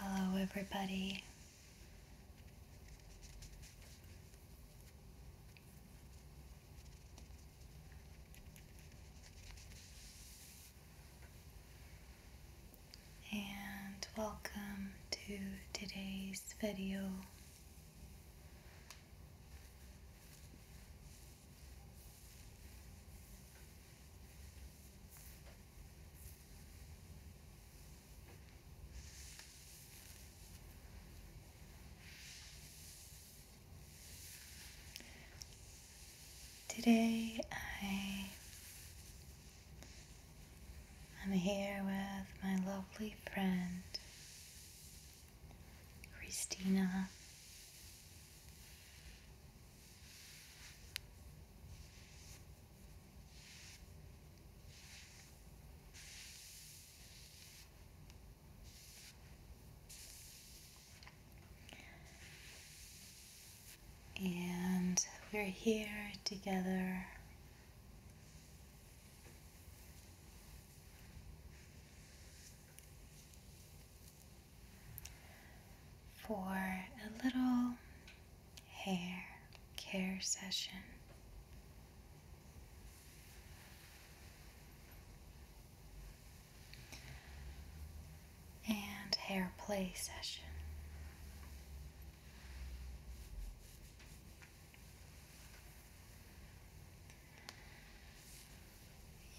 Hello, everybody. And welcome to today's video Today I am here with my lovely friend Christina. And we're here together for a little hair care session. And hair play session.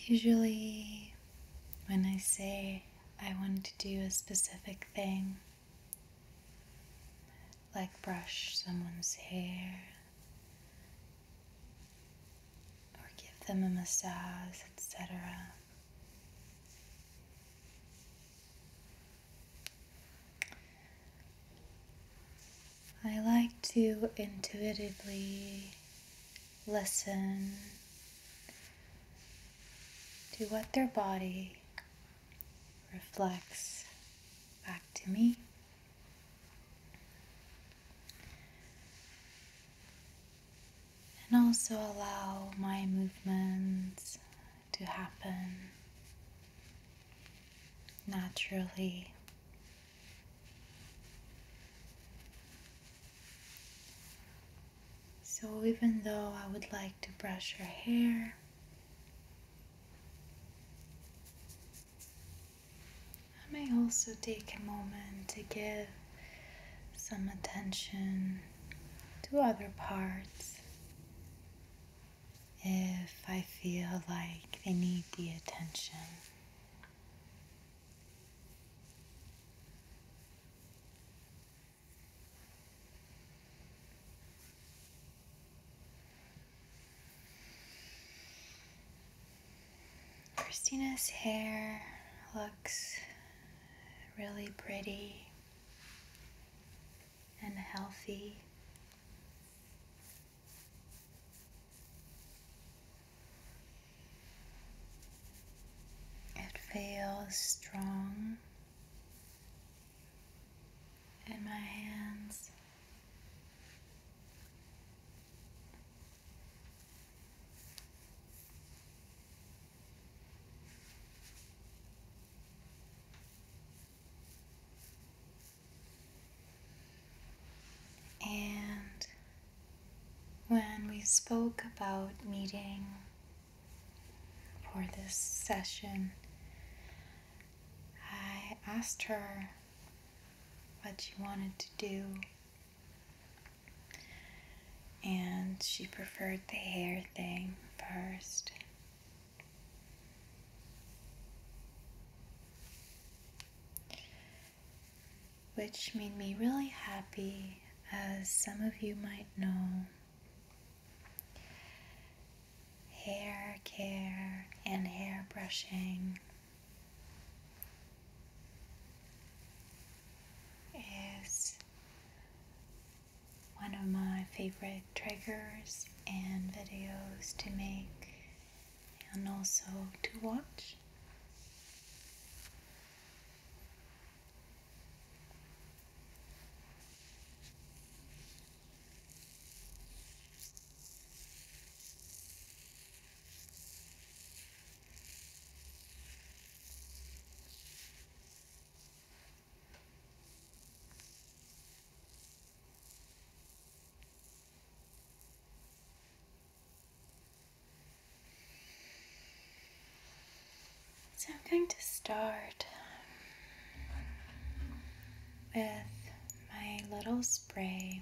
Usually, when I say I want to do a specific thing, like brush someone's hair or give them a massage, etc. I like to intuitively listen to what their body reflects back to me. And also allow my movements to happen naturally. So, even though I would like to brush her hair, I may also take a moment to give some attention to other parts if I feel like they need the attention. Christina's hair looks really pretty and healthy. It feels strong in my hands. And when we spoke about meeting for this session, I asked her what she wanted to do. And she preferred the hair thing first which made me really happy, as some of you might know. Hair care and hair brushing is one of my favorite triggers and videos to make and also to watch. So I'm going to start with my little spray.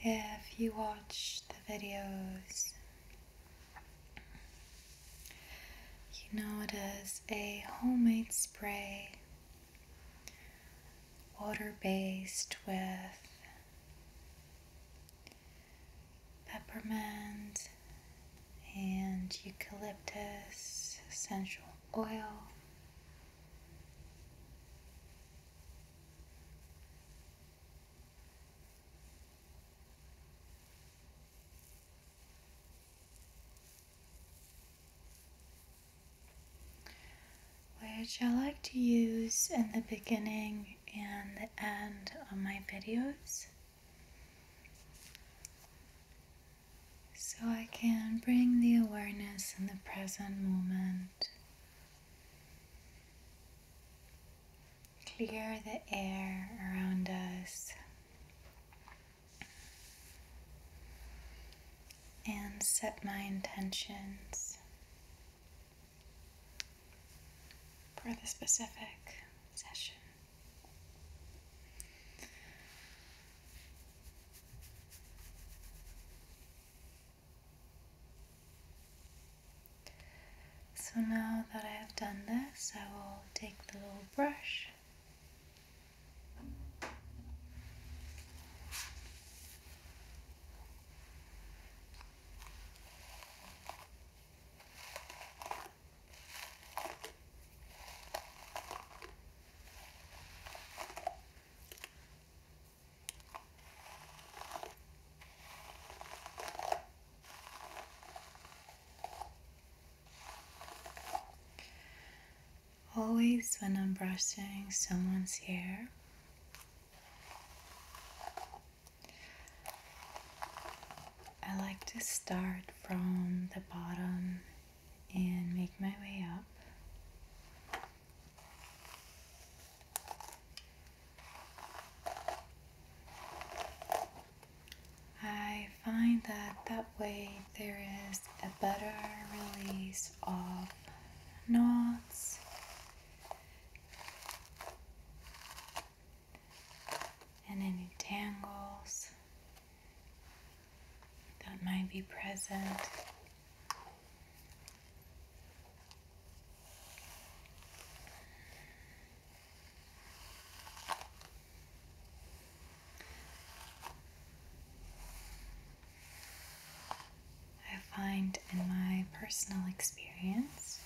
If you watch the videos, you notice a homemade spray, water based with peppermint and eucalyptus essential oil which I like to use in the beginning and the end of my videos so I can bring the awareness in the present moment Clear the air around us and set my intentions for the specific session. So now that I have done this, I will take the little brush Always, when I'm brushing someone's hair, I like to start from the bottom and make my way up. I find that that way there is a better release of knots and any tangles that might be present. I find in my personal experience,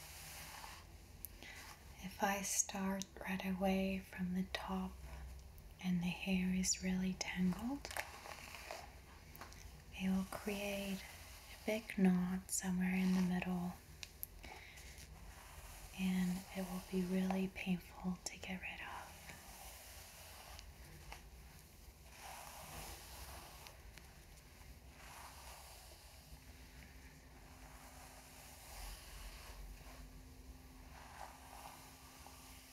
if I start right away from the top and the hair is really tangled, it will create a big knot somewhere in the middle and it will be really painful to get rid of.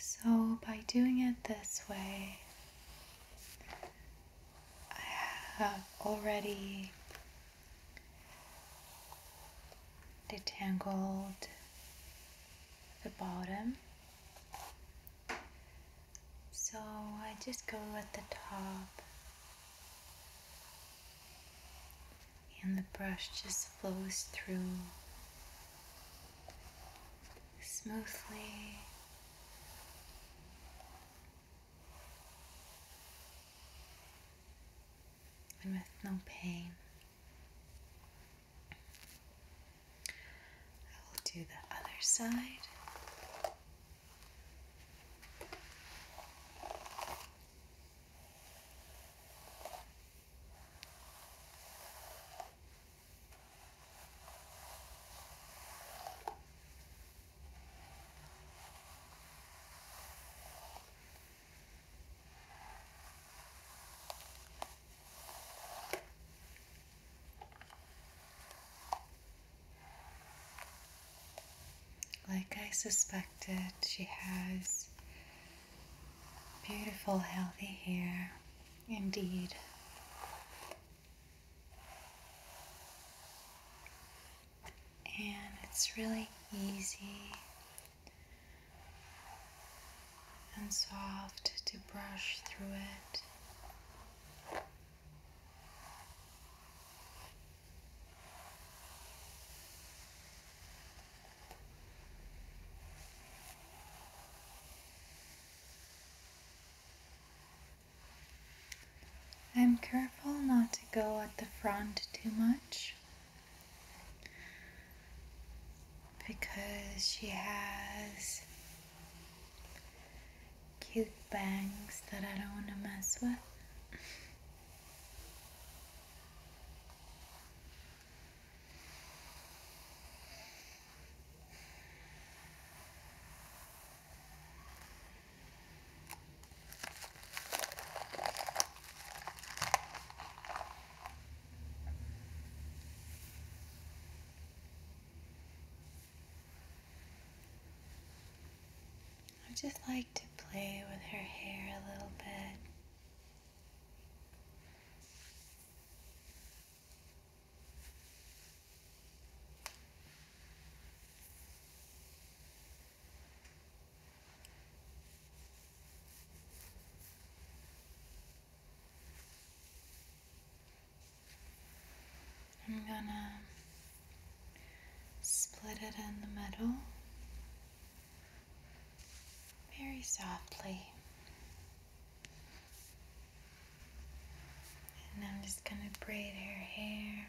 So, by doing it this way, I have already detangled the bottom. So, I just go at the top. And the brush just flows through smoothly. And with no pain, I will do the other side. Like I suspected, she has Beautiful, healthy hair, indeed. And it's really easy and soft to brush through it. I'm careful not to go at the front too much because she has cute bangs that I don't want to mess with. I just like to play with her hair a little bit. I'm gonna split it in the middle very softly. And I'm just going to braid her hair.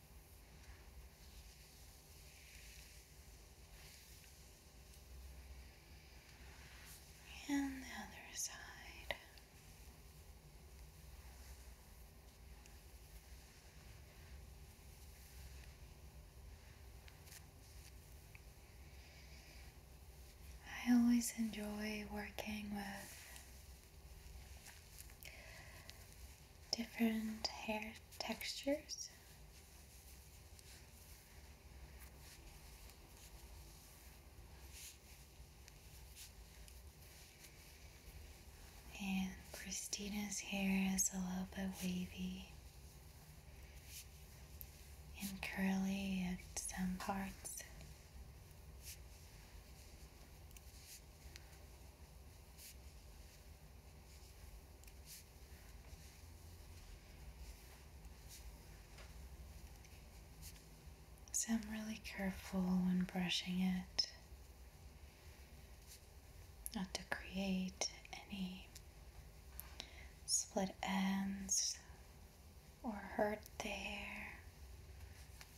And the other side. I always enjoy working with different hair textures. And Christina's hair is a little bit wavy and curly at some parts. So I'm really careful when brushing it not to create any split ends or hurt the hair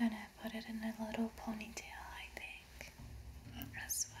I'm gonna put it in a little ponytail, I think, as well.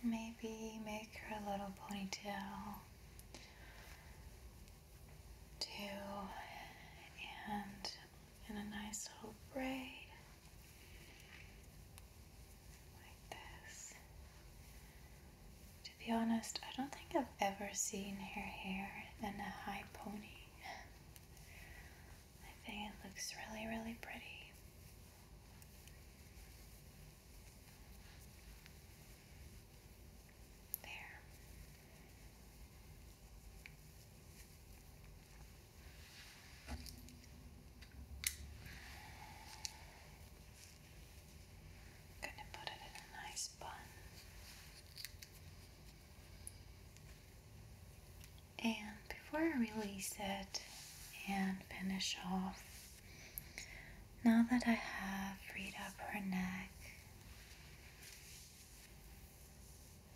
And maybe make her a little ponytail too, and in a nice little braid like this. To be honest, I don't think I've ever seen her hair in a high pony. I think it looks really, really pretty. There. going to put it in a nice bun. And before I release it and finish off, now that I have freed up her neck,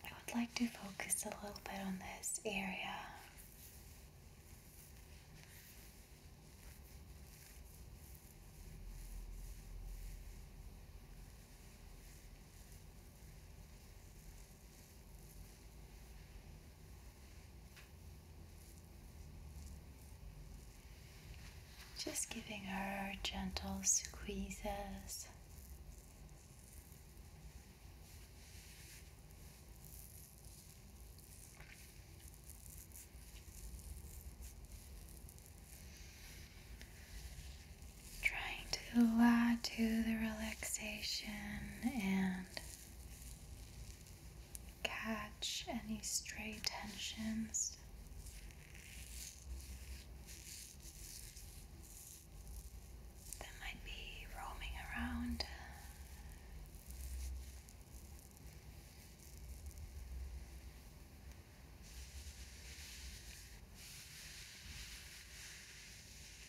I would like to focus a little bit on this area. Just giving her gentle squeezes trying to add to the relaxation and catch any stray tensions. That might be roaming around.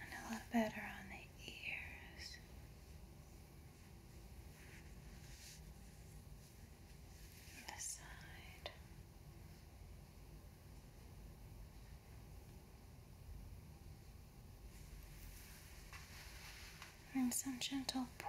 And a little better on the ears this And some gentle pulls.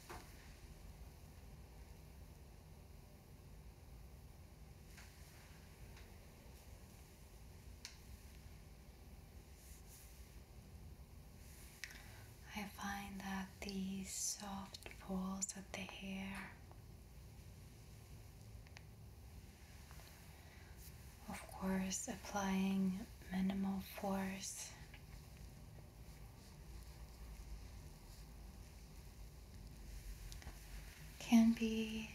I find that these soft pulls at the hair, of course, applying minimal force can be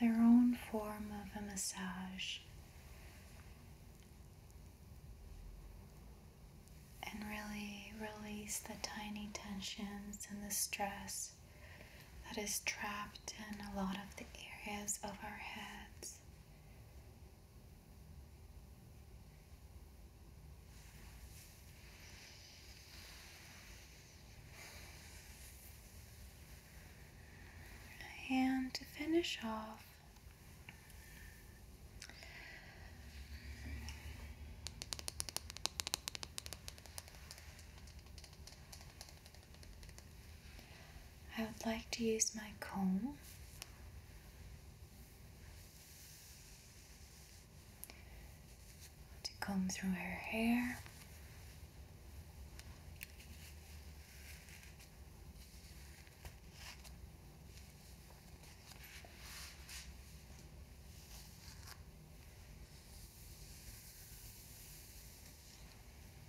their own form of a massage and really release the tiny tensions and the stress that is trapped in a lot of the areas of our heads and to finish off, I would like to use my comb to comb through her hair.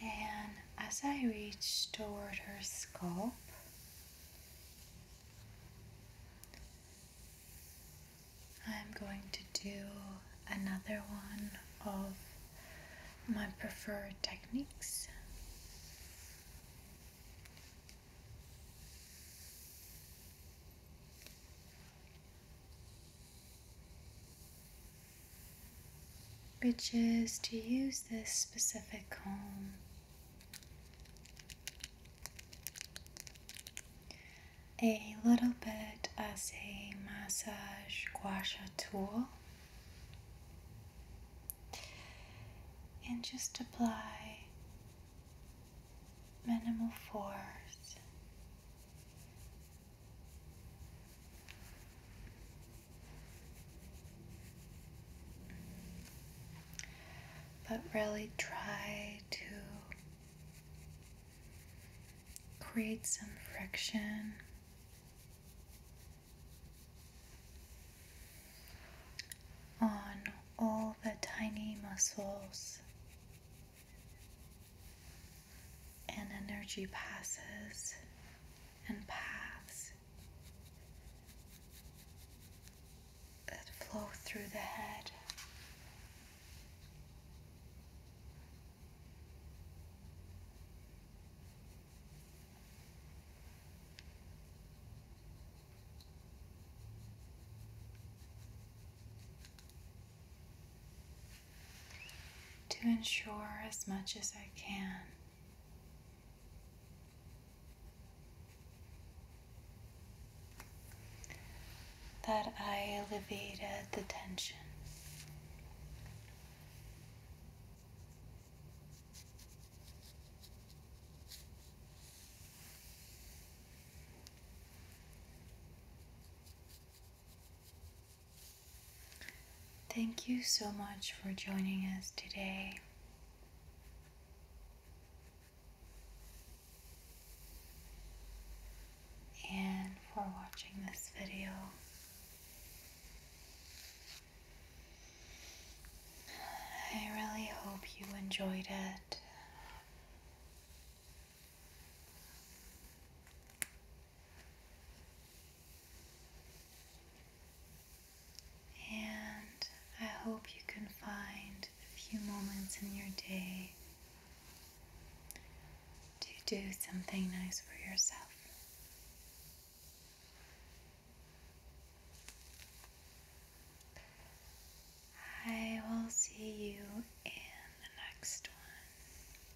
And as I reach toward her scalp, I'm going to do another one of my preferred techniques which is to use this specific comb a little bit as a massage gua tool and just apply minimal force but really try to create some friction. on all the tiny muscles and energy passes and paths that flow through the head. To ensure as much as I can that I alleviated the tension. Thank you so much for joining us today. and for watching this video. I really hope you enjoyed it. And I hope you can find a few moments in your day to do something nice for yourself. I will see you in the next one.